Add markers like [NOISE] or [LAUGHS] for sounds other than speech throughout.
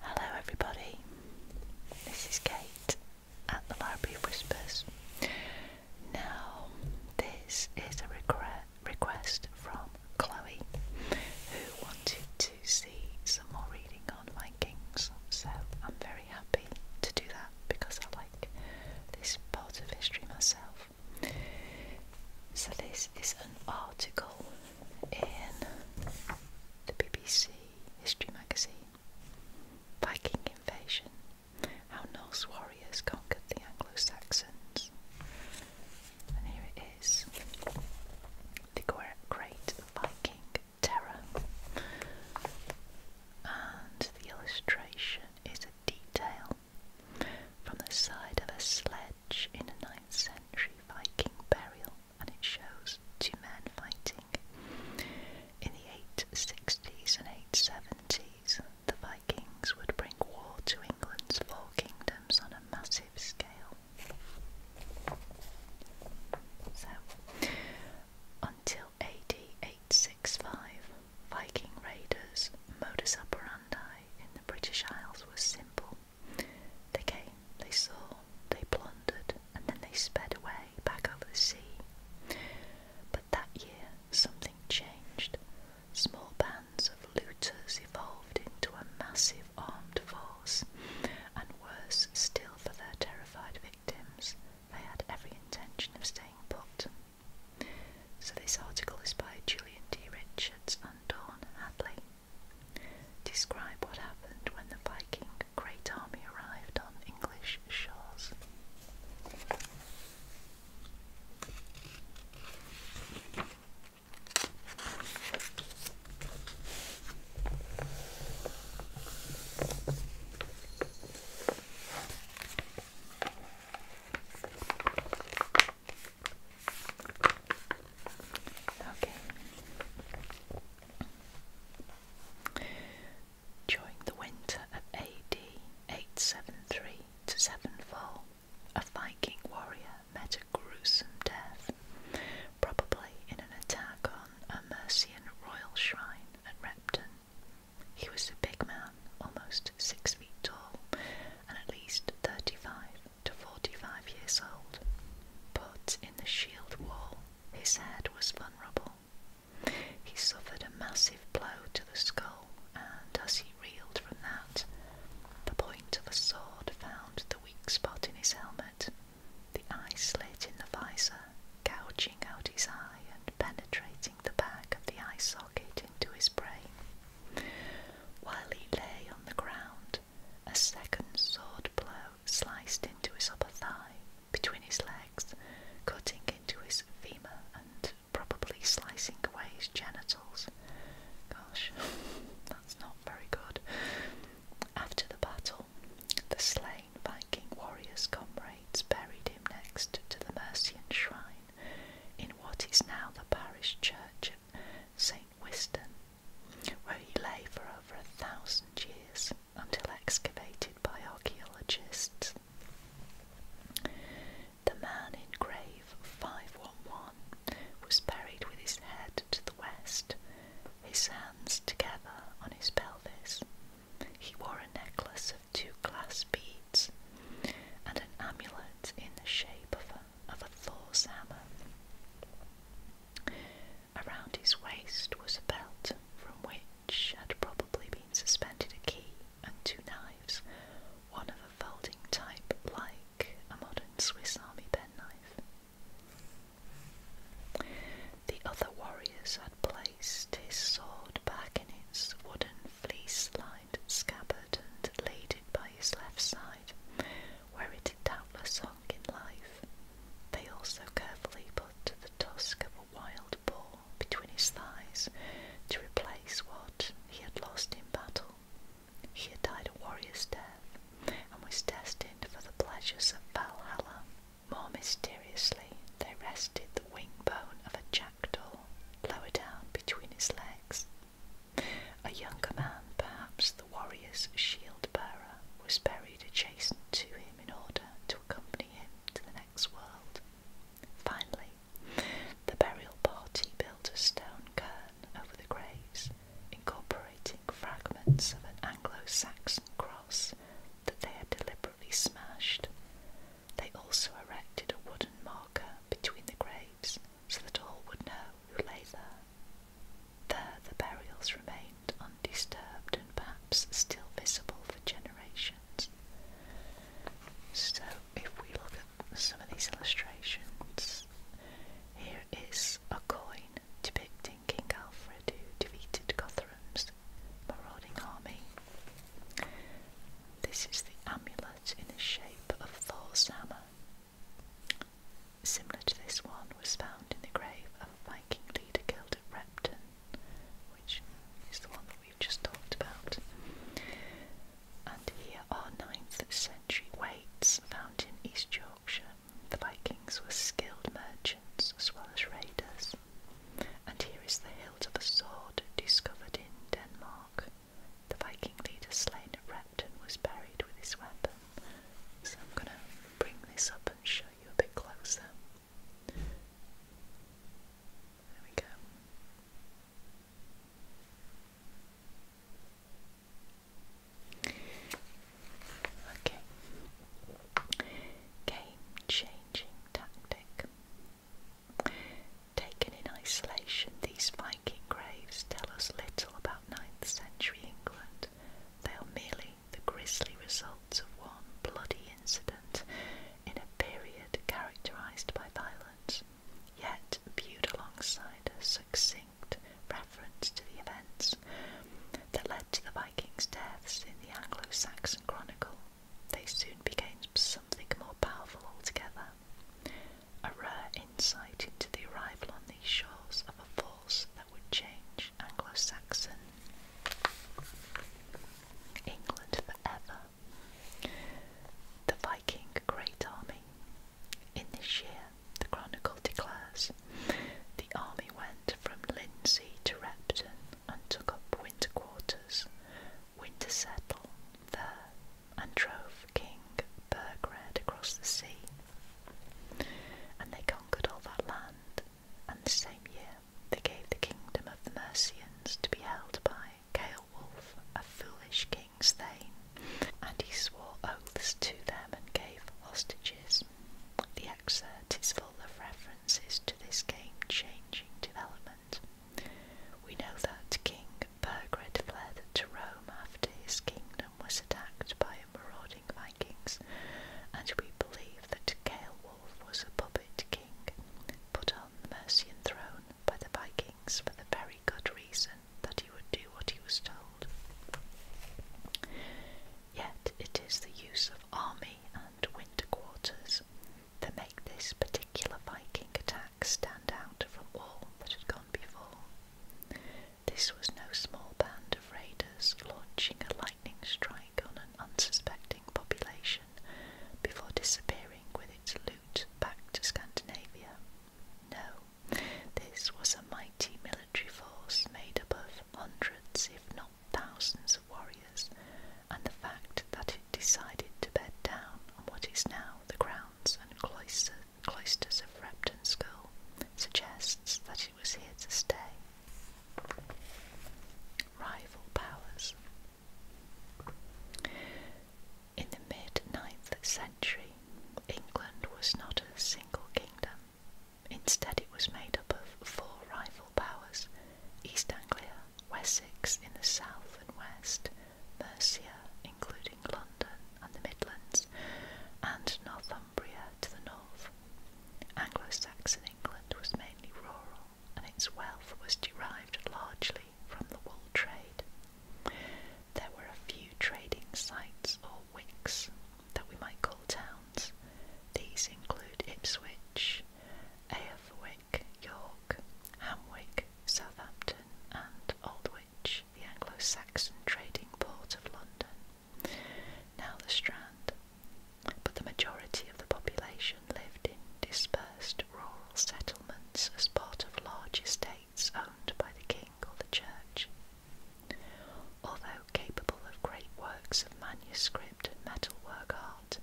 Hello, everybody. This is Kate at the Library of Whispers. Now, this is a request from Chloe, who wanted to see some more reading on Vikings. So I'm very happy to do that because I like this part of history myself. So, this is an article in the BBC History magazine, Viking Invasion, How Norse Warriors Conquered the Anglo-Saxons. And here it is, The Great Viking Terror. And the illustration is a detail from the side of a sledge in a night. 9th century Viking burial and it shows two men fighting. In the 860s and 870s, the Vikings would bring war to England's four kingdoms on a massive scale. So, until AD 865, Viking raiders' modus operandi in the British Isles was simple. They came, they saw, they plundered, and then they sped away back over the sea. But that year something changed. Small bands of looters evolved into a massive armed force, and worse still for their terrified victims, they had every intention of staying put. So this article is by Julian D. Richards and Dawn Hadley. Describe what happened when the Viking Great Army arrived on English shores. During the winter of AD 873 to 704, a Viking warrior met a gruesome death, probably in an attack on a Mercian royal shrine at Repton. He was a big man, almost six feet tall, and at least 35 to 45 years old, but in the shield wall his head was vulnerable. He suffered a massive blow to the skull, and as he reeled from that, the point of a sword found the weak spot in his helmet. The eye slit in the visor, gouging out his eye and penetrating the back of the eye socket into his brain. While he lay on the ground, a second sword blow sliced into his upper thigh between his legs, cutting into his femur and probably slicing away his genitals. Gosh, [LAUGHS] that's not very good. After the battle, the slain Viking warriors' comrades buried him next to the Mercian shrine in what is now the parish church of St. Wiston, where he lay for over a thousand years until excavated by archaeologists. The man in grave 511 was buried with his head to the west, his hands together on his pelvis. He wore a necklace of two glass beads and an amulet in the shape of of a Thor's hammer. Around his waist was a belt from which had probably been suspended a key and two knives, one of a folding type like a modern Swiss army penknife. The other warriors had placed his sword back in its wooden fleece side, scabbard and laid it by his left side, where it had doubtless hung in life. They also carefully put the tusk of a wild boar between his thighs to replace what he had lost in battle. He had died a warrior's death and was destined for the pleasures of Valhalla. More mysteriously, they rested the wing bone of a jackdaw lower down between his legs, a younger man, perhaps the warrior's shield bearer, was buried adjacent to him in order to accompany him to the next world. Finally, the burial party built a stone cairn over the graves, incorporating fragments of an Anglo Saxon cross that they had deliberately smashed. They also erected a wooden marker between the graves so that all would know who lay there. There the burials remained undisturbed and perhaps still visible for generations. So, if we look at some of these illustrations, here is a coin depicting King Alfred who defeated Guthrum's marauding army. This is the amulet in the shape of Thor's hammer, Similar to this one was found in the grave of a Viking leader killed at Repton, which is the one that we've just talked about. And here are 9th century weights found in East Yorkshire. The Vikings were skilled merchants as well as raiders. And here is the hilt of a sword discovered in Denmark. The Viking leader slain at Repton was buried with his weapon. So I'm going to bring this up and show you a bit closer. There we go. Okay. Game changing tactic. Taken in isolation, these Viking graves tell us little about 9th century England. They are merely the grisly results of one bloody incident in a period characterised by violence, yet viewed alongside a succinct reference to the events that led to the Vikings' deaths in the Anglo Saxon Chronicle. They soon became something more powerful altogether a rare insight into the arrival on these shores of a force that would change Anglo Saxon England forever. The Viking Great Army. In this year, the Chronicle declares, the army went from Lindsey to Repton and took up winter quarters. Winter settled there and drove King Burgred across the sea. And they conquered all that land, and the same year they gave the kingdom of the Mercians to be held by Ceolwulf, a foolish king's thane, and he swore oaths to them and gave hostages. The excerpt is full of references to this game-changing development. We know that King Burgred fled to Rome after his kingdom was attacked by marauding Vikings, and we believe that Ceolwulf was a puppet king put on the Mercian throne by the Vikings for the very good reason that he would do what he was told. Yet it is the use of army and winter quarters that make this particular Viking attack stand out from all that had gone before. This was no small band of raiders launching a lightning strike on an unsuspecting population before disappearing with its loot back to Scandinavia. No, this was a mighty military force made up of hundreds, if not thousands, of warriors, and the fact that it decided to bed down on what is now the grounds and cloisters cloisters of Repton School, suggests that he was here to stay. Rival powers. In the mid ninth century, England was not a single kingdom. Instead, it was made up of four rival powers East Anglia, Wessex in the south and west, Mercia, including London and the Midlands, and Northumbria to the north. Anglo-Saxon England was mainly rural, and its wealth was derived largely from the wool trade. There were a few trading sites or wicks that we might call towns. These include Ipswich, Aerfwick, York, Hamwick, Southampton, and Old the Anglo-Saxon trading port of London, now the Strand, but the majority of the population lived in dispersed rural settlements as part of large estates owned by the king or the church. Although capable of great works of manuscript and metalwork art,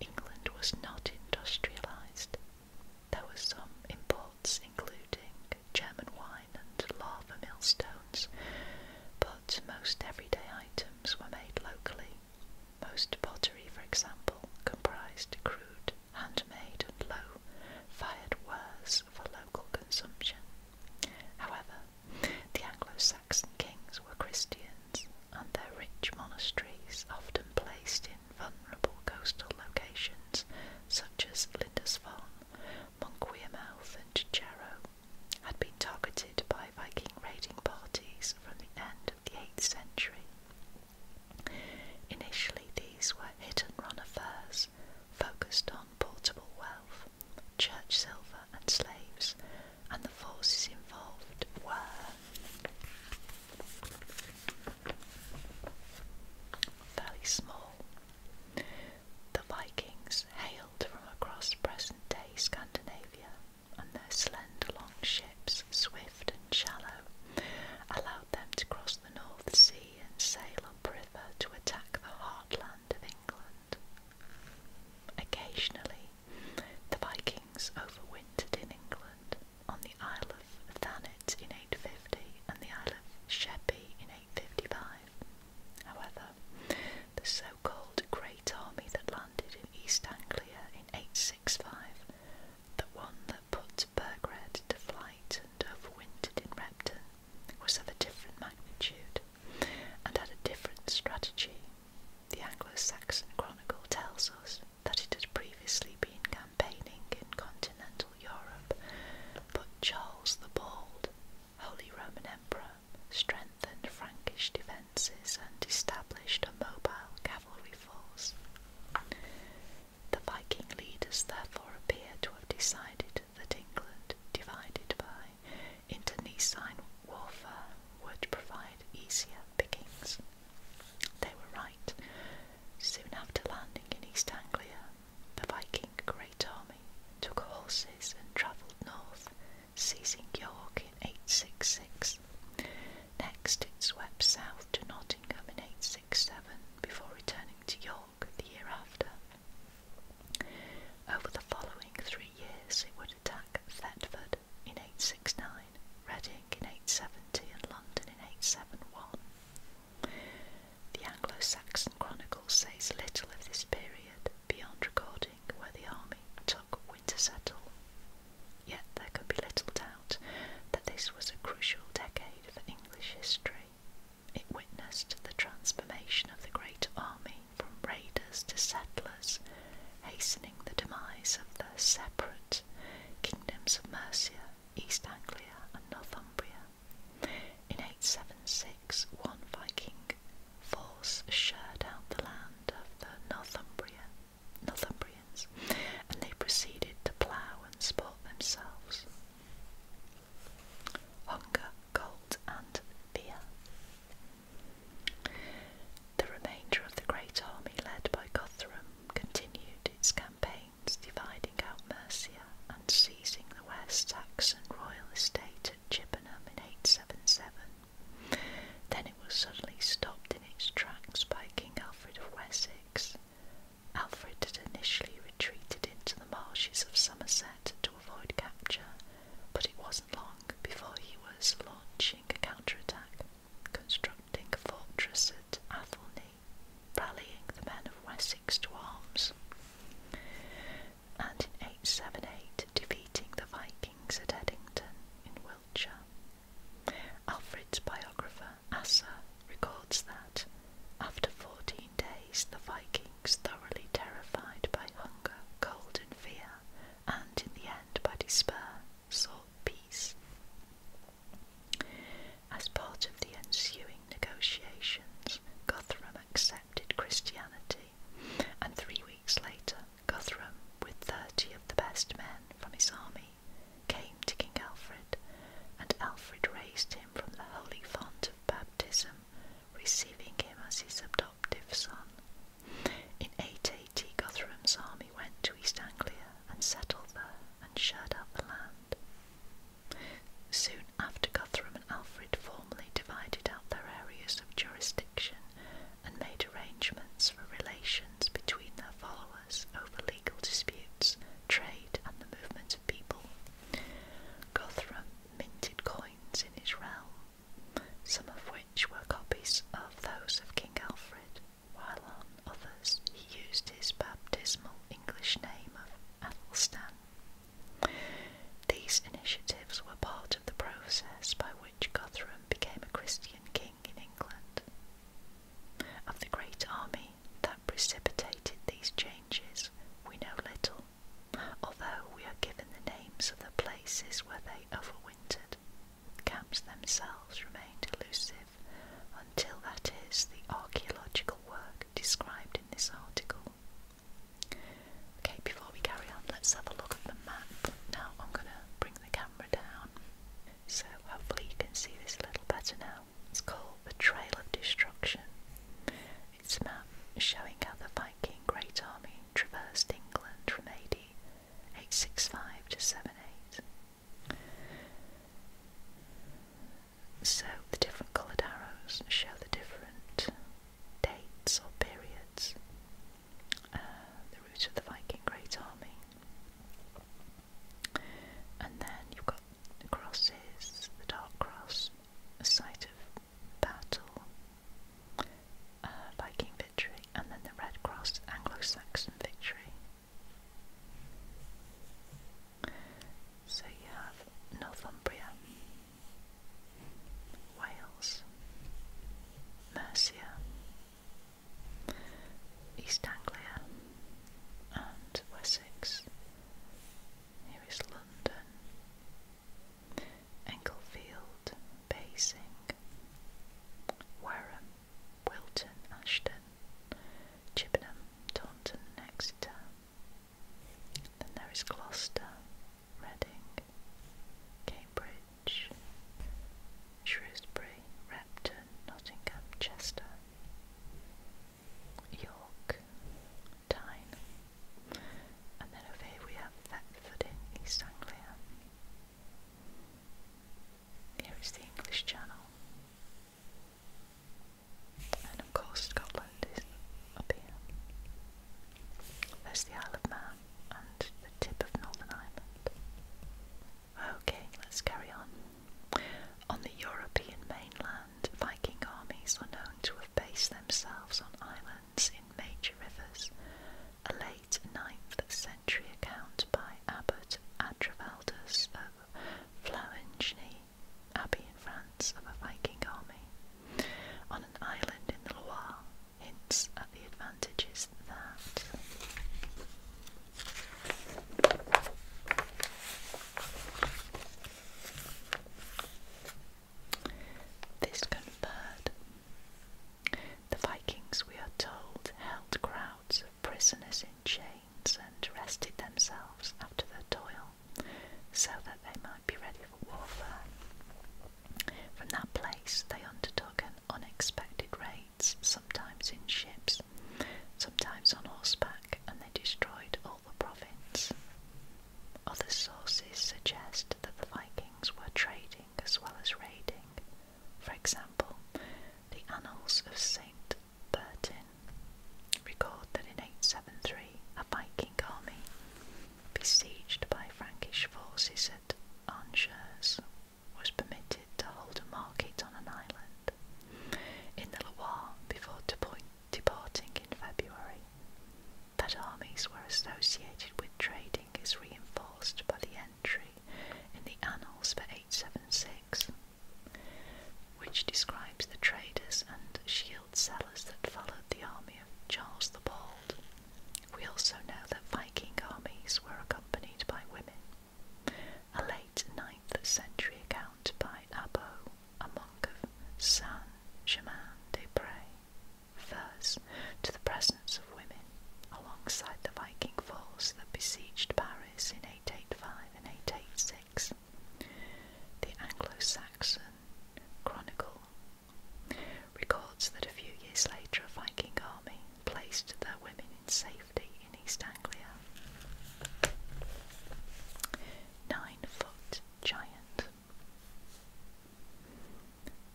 England was not industrialised. There were some imports, including German wine and lava millstones, but most everyday items were made locally. Most pottery, for example, comprised crude, handmade, and low fired wares for local consumption. However, the Anglo Saxon kings were Christians, and their rich monasteries, often placed in vulnerable coastal locations such as Lindisfarne, Monkwearmouth, and Jarrow had been targeted by Viking raiding parties from the end of the 8th century. Initially, these were hit and run affairs focused on portable wealth, church silver, and slaves, and the forces involved were fairly small. The Vikings hailed from across present day Scandinavia, and their slender long ships, swift and shallow, allowed them to cross the North Sea and sail up river to attack the heartland of England. Occasionally, the Vikings overwintered in England on the Isle of Thanet in 850 and the Isle of Sheppey in 855. However, the so-called Great Army that landed in East Anglia in 865, the one that put Burgred to flight and overwintered in Repton, was of a different magnitude and had a different strategy. The Anglo-Saxon Chronicle tells us that it had previously been campaigning in continental Europe, but Charles the Bald, Holy Roman Emperor, strengthened Frankish defences and established a mobile cavalry force. The Viking leaders therefore appear to have decided that England, divided by internecine warfare, would provide easier pickings. They were right. Soon after landing in East Anglia, the Viking great army took horses and travelled north, seizing York in 866. Next, it swept south to Nottingham in 867 before returning to York the year after. Over the following three years, it would attack Thetford in 869 Reading in 870 and London in 871. The Anglo-Saxon Chronicle says little of this period beyond recording where the army took winter settle. Yet there can be little doubt that this was a crucial decade for English history. It witnessed the transformation of the great army from raiders to settlers, hastening the demise of the separate kingdoms of Mercia East Anglia and Northumbria. In 876, one Viking force shared out the land of the Northumbria, Northumbrians and they proceeded to plough and sport themselves. Hunger, cold, and fear. The remainder of the great army led by Guthrum continued its campaign dividing out Mercia and seizing the West Saxon royal estate at Chippenham in 877. Then it was suddenly stopped in its tracks by King Alfred of Wessex. Alfred had initially retreated into the marshes of Somerset to avoid capture, but it wasn't long before he was launching a counterattack, constructing a fortress at Athelney rallying the men of Wessex to arms, and in 878 defeating the Vikings at Eddington in Wiltshire. Alfred's biographer Asa records that, after 14 days, the Vikings, thoroughly terrified by hunger, cold, and fear, and in the end by despair, salt peace. As part of the ensuing negotiations, Guthrum accepted Christianity, and three weeks later, Guthrum, with thirty of the best men from his army, came to King Alfred, and Alfred raised him from the holy font of baptism, receiving him as his adoptive son. In 880, Guthrum's army went to East Anglia and settled there and shared out the land. Soon after, Guthrum and Alfred formally divided out their areas of jurisdiction and made arrangements for relations between their followers over legal disputes, trade, and the movement of people. Guthrum minted coins in his realm, some of which were copies of those of King Alfred, while on others he used his baptismal English name of Athelstan. These initiatives were part of the process by which Guthrum became a Christian king in England. Of the great army that precipitated these changes, we know little, although we are given the names of the places where they overwintered camps themselves remained elusive until, that is, the archaeological work described in this article. Okay, before we carry on, let's have a look at the map. Now I'm going to bring the camera down so hopefully you can see this a little better now. It's called the Trail of Destruction. It's a map showing how the Viking Great Army traversed England from AD 865 to 78. So the different coloured arrows show the different dates or periods, uh, the route of the Viking Great Army, and then you've got the crosses, the dark cross, a site of battle, uh, Viking victory, and then the red cross, Anglo-Saxon victory. So you have Northumbria, Wales, Mercia, East Anglia, and Wessex. Here is London, Englefield, Basing, Wareham, Wilton, Ashton, Chippenham, Taunton, Exeter. Then there is Gloucester, Reading, Cambridge, Shrewsbury, Repton, Nottingham, Chester, York, Tyne. And then over here we have Thetford in East Anglia. Here is the English Channel. And of course, Scotland is up here. There's the Isle of Man and the tip of Northern Ireland. Okay, let's carry on. On the European mainland, Viking armies are known to have based themselves on islands in major rivers. A late 9th century account by Abbot. Abbot of Flavigny Abbey in France of a Viking army on an island in the Loire hints at the advantages that. This conferred. The Vikings, we are told, held ground of prisoners in chains and rested themselves after their toil so that they might be ready for warfare. From that place they undertook an unexpected raids, sometimes in ships, sometimes on horseback, and they destroyed all the province. Other sources suggest that the Vikings were trading as well as raiding, for example, the Annals of St. Bertin record that in 873 a Viking army, besieged by Frankish forces at Angers, was permitted to hold a market on an island in the Loire before departing in February. That armies were associated with trading is reinforced by the end in the Annals for 876, which describes the traders and shield sellers that followed the army of Charles the Bald. We also know that Viking armies were accompanied by women. A late 9th century account by Abbo, a monk of Saint Germain des Prés, refers to the presence of women alongside the Viking force that besieged Paris in 885 and 886. The Anglo Saxon Chronicle records that a few years later a Viking army placed their women in safety in East Anglia. Nine foot giant.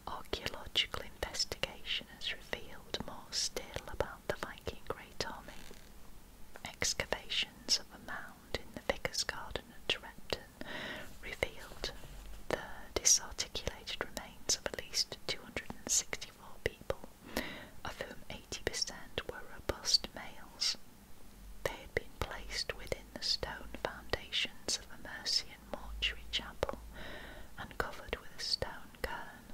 Archaeological investigation has revealed more still about the Viking Great Army. Excavations of a mound in the Vicar's Garden at Repton revealed the disarticulated remains of at least 264 people, of whom 80% were robust males. They had been placed within the stone foundations of a Mercian mortuary chapel and covered with a stone cairn.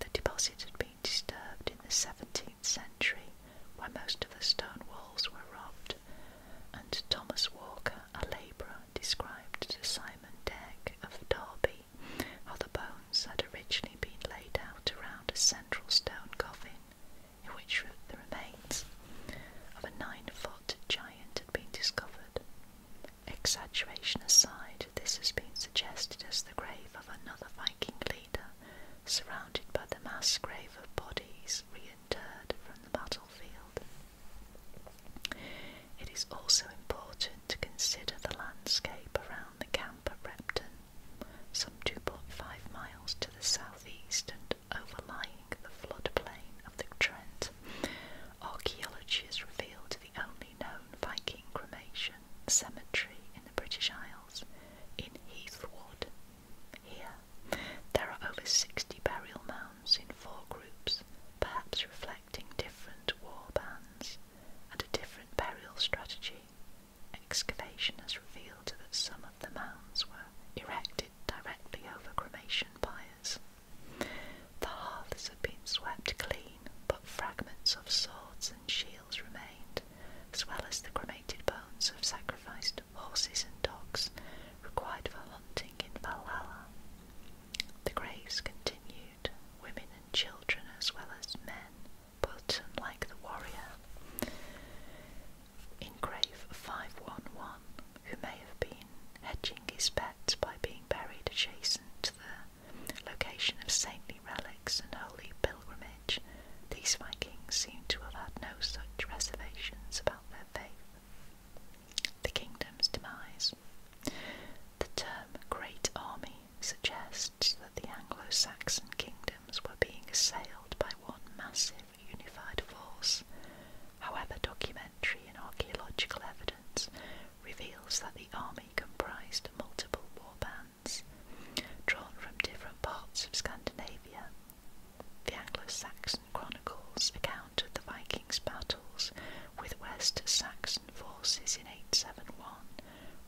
The deposit had been disturbed in the 17th century when most of the stone walls were robbed, and Thomas Walker, a labourer, described to Simon Deck of Derby how the bones had originally been laid out around a central stone coffin in which the remains of a nine foot giant had been discovered. Exaggeration aside, this has been suggested as the grave of another Viking leader, surrounded by the mass grave of bodies reinterred from the battlefield. It is also important to consider the landscape around the camp at Repton, some 2.5 miles to the southeast and overlying the floodplain of the Trent. Archaeology has revealed the only known Viking cremation cemetery in the British Isles in Heathwood. Here, there are over 60 burial mounds in four groups, perhaps reflecting different war bands and a different burial strategy. Excavation has revealed that some of the mounds were erected directly over cremation fires. The hearths had been swept clean, but fragments of swords and shields remained, as well as the cremated bones of sacrificed horses and dogs required for hunting in Valhalla. The graves continued, women and children as well as men, but unlike the warrior. In grave 511, who may have been hedging his bets by being buried adjacent to the location of saintly relics and holy pilgrimage, these Vikings seem to have had no such reservations about their faith. The kingdom's demise. The term Great Army suggests that the Anglo Saxon kingdoms were being assailed by one massive unified force. However, documentary and archaeological evidence reveals that the army comprised multiple war bands drawn from different parts of Scandinavia. The Anglo-Saxon chronicles account of the Vikings' battles with West Saxon forces in 871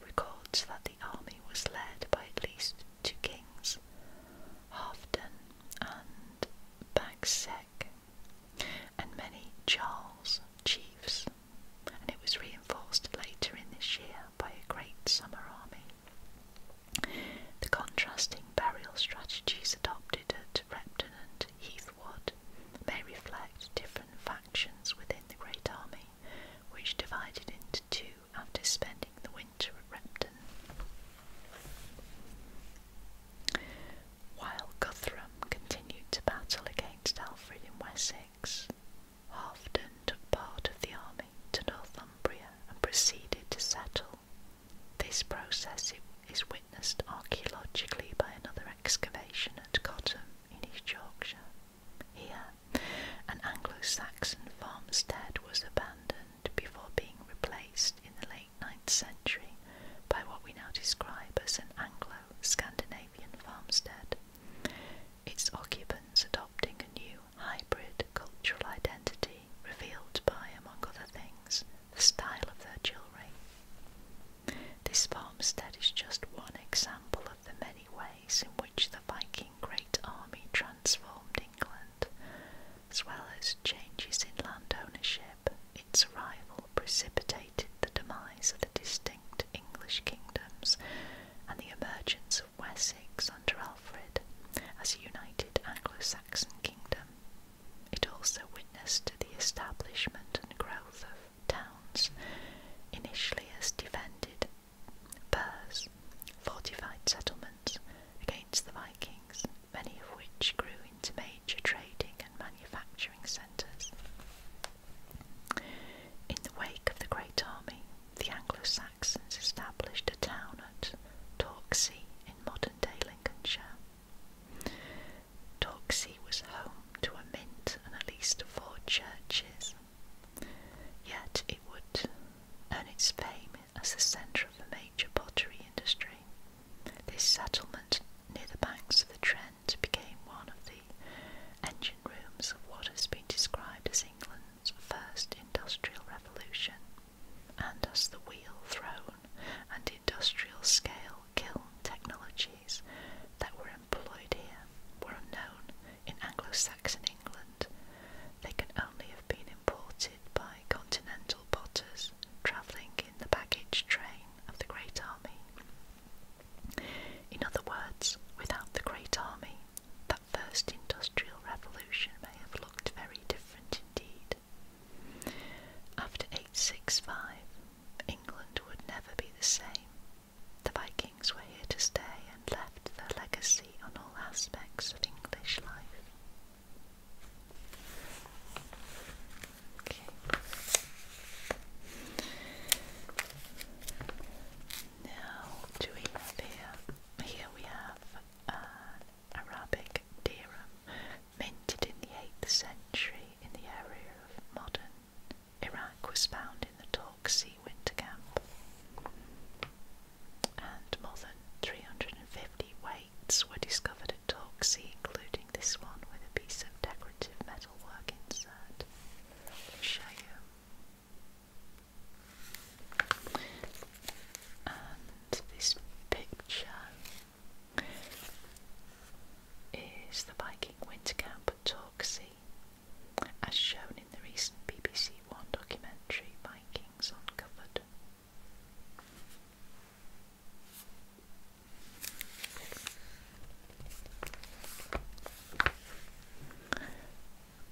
records that the army was led by at least two kings, Halfdan and Bagse and many Charles chiefs, and it was reinforced later in this year by a great summer army. The contrasting burial strategies adopted at Repton and Heathwood may reflect different factions within the great army, which divided into two after spending the winter at Repton while Guthrum continued to battle against Alfred in Wessex. Halfdan took part of the army to Northumbria and proceeded to settle. This process is witnessed archaeologically by another excavation at Cottam in East Yorkshire. Here, an Anglo-Saxon farmstead was abandoned before being replaced in the late 9th century by what we now describe as an Anglo Scandinavian farmstead, its occupants adopting a new hybrid cultural identity revealed by, among other things, the style of their jewellery. This farmstead is just one example of the many ways in which the Viking Great Army transformed England, as well as changes in land ownership. Its arrival precipitated the demise of the distinct English kingdoms and the emergence of Wessex under Alfred as a united Anglo-Saxon kingdom. It also witnessed the establishment and growth of towns, initially as defended burhs, fortified settlements against the Vikings, many of which grew into major major trading and manufacturing centres. In the wake of the Great Army, the Anglo Saxons established a town at Torksey in modern day Lincolnshire. Torksey was home to a mint and at least four churches, yet it would earn its fame as the centre of a major pottery industry. This settlement near the banks of the Trent became one of the engine rooms of what has been described as England's first industrial revolution and as the wheel thrown and industrial scale kiln technologies that were employed here were unknown in Anglo-Saxon England. They can only have been imported by continental potters travelling in the baggage train of the Great Army. In other words, without the great army, that first industrial revolution may have looked very different indeed. After 865, England would never be the same. The Vikings were here to stay and left their legacy on all aspects of English life. Now, do we have here? Here we have an uh, Arabic dirham minted in the 8th century in the area of modern Iraq, was found in the Talk Sea winter camp, and more than 350 weights were discovered covered including this one with a piece of decorative metalwork insert. I'll show you. And this picture is the Viking winter camp at Torksey, as shown in the recent BBC One documentary Vikings Uncovered.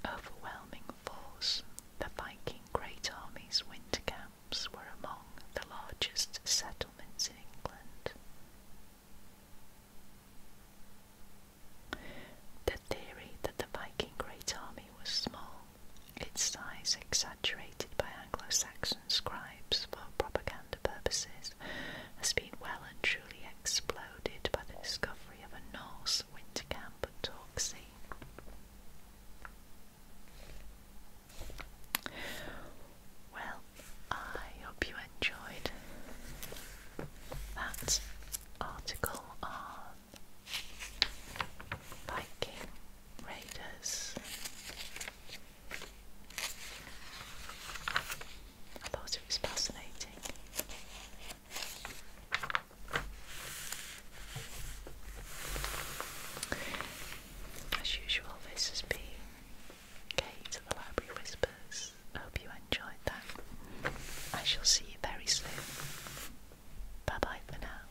Overwhelming force, the Viking Great Army's winter camps were among the largest settlements in England. The theory that the Viking Great Army was small, its size exaggerated by Anglo-Saxon scribes for propaganda purposes has been well and truly exploded by the discovery of a Norse winter camp at Torksey. Well, I hope you enjoyed that article on Viking Raiders. I thought it was fascinating. As usual, this has been Kate at the Library Whispers. hope you enjoyed that. I shall see you very soon. Bye bye for now.